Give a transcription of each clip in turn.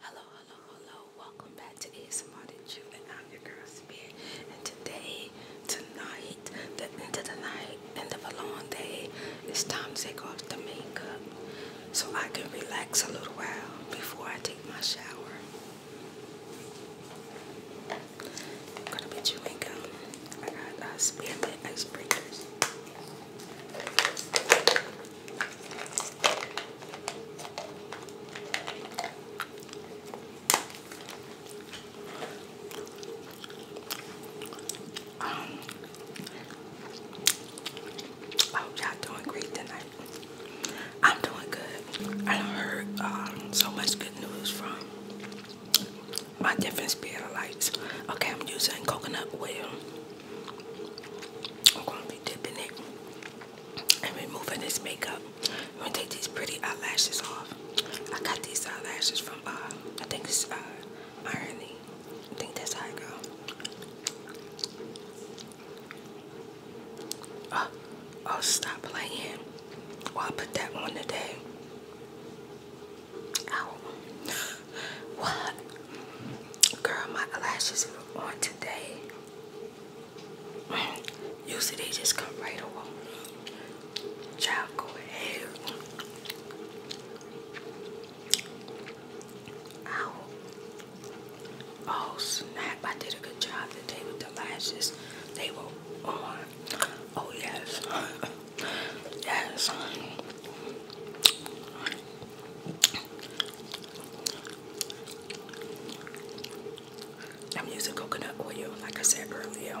Hello, hello, hello. Welcome back to ASMR the Jew and I'm your girl Spirit. And today tonight, the end of the night, end of a long day, it's time to take off the makeup so I can relax a little while before I take my shower. gonna be chewing gum. I got uh, spearmint icebreakers. Um, I hope y'all doing great tonight. I'm doing good. I heard um, so much good news from my different spiritualites. Okay, I'm using coconut oil. I'm going to be dipping it and removing this makeup up. I'm gonna take these pretty eyelashes off. I got these eyelashes from uh, I think it's uh, Irony. I think that's how I go. Oh, oh, stop playing. Well, oh, I put that on today. Ow. what? Girl, my eyelashes are on today. You see, they just come right over. Child, go ahead. Ow. Oh snap, I did a good job today with the lashes. They were on. Oh yes. yes. I'm using coconut oil, like I said earlier.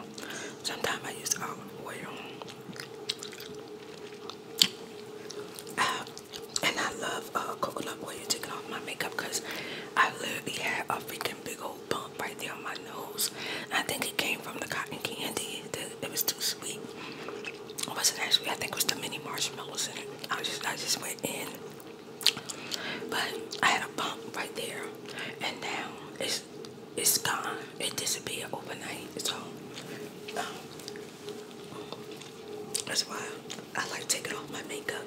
Sometimes I use olive oil. Uh, and I love uh, coconut oil taking off my makeup because I literally have a freaking big old bump right there on my nose. I think it came from the cotton candy. it was too sweet. It wasn't actually, I think it was the mini marshmallows in it. I just, I just went in but I had a bump right there, and now it's it's gone. It disappeared overnight. So um, that's why I like taking off my makeup.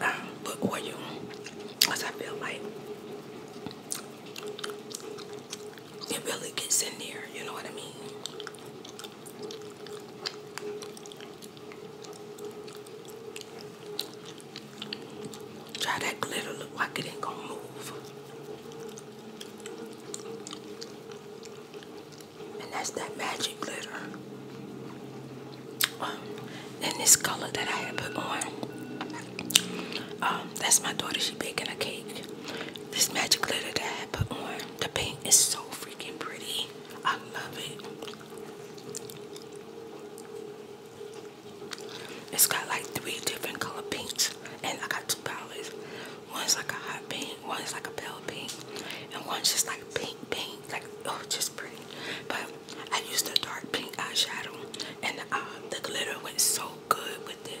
I um, oil because I feel like it really gets in there. You know what I mean? Try that glitter look like it ain't gonna move. And that's that magic glitter. Um, and this color that I had put on. Um, that's my daughter, she baking a cake. This magic glitter that I put on, the paint is so free freaking pretty. I love it. It's got like three different color pinks, and I got two palettes. One's like a hot pink, one's like a pale pink, and one's just like pink, pink, like oh, just pretty. But I used a dark pink eyeshadow, and uh, the glitter went so good with it.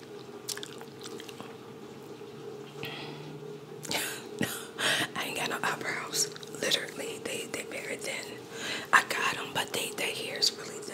I ain't got no eyebrows. Literally, they they very thin. I got them, but they their hair is really thin.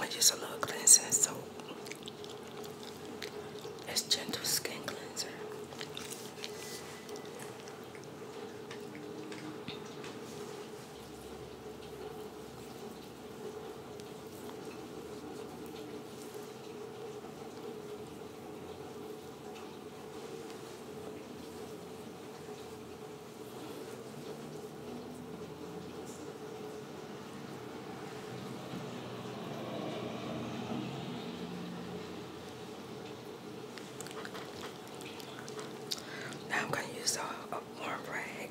i use a little cleansing soap. It's gentle skin cleanser. Now I'm going to use a, warm rag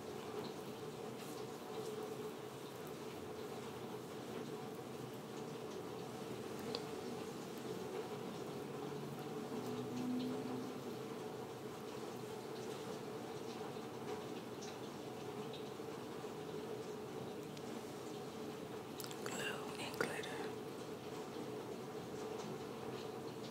Glow and glitter.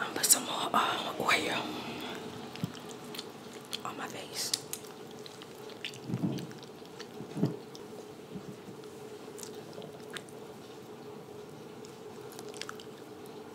I'm gonna put some more uh, oil on my face.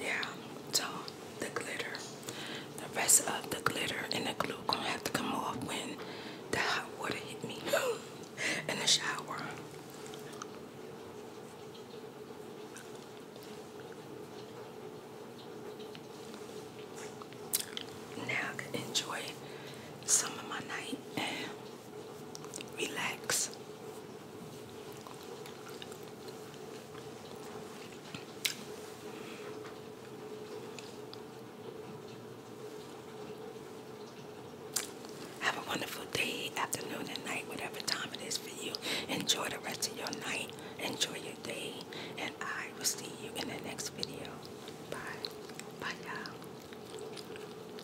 Yeah, so the glitter, the rest of the glitter and the glue gonna have to come off when the hot water hit me in the shower. Now I can enjoy some of my night relax. Have a wonderful day, afternoon, and night, whatever time it is for you. Enjoy the rest of your night, enjoy your day, and I will see you in the next video. Bye. Bye, y'all.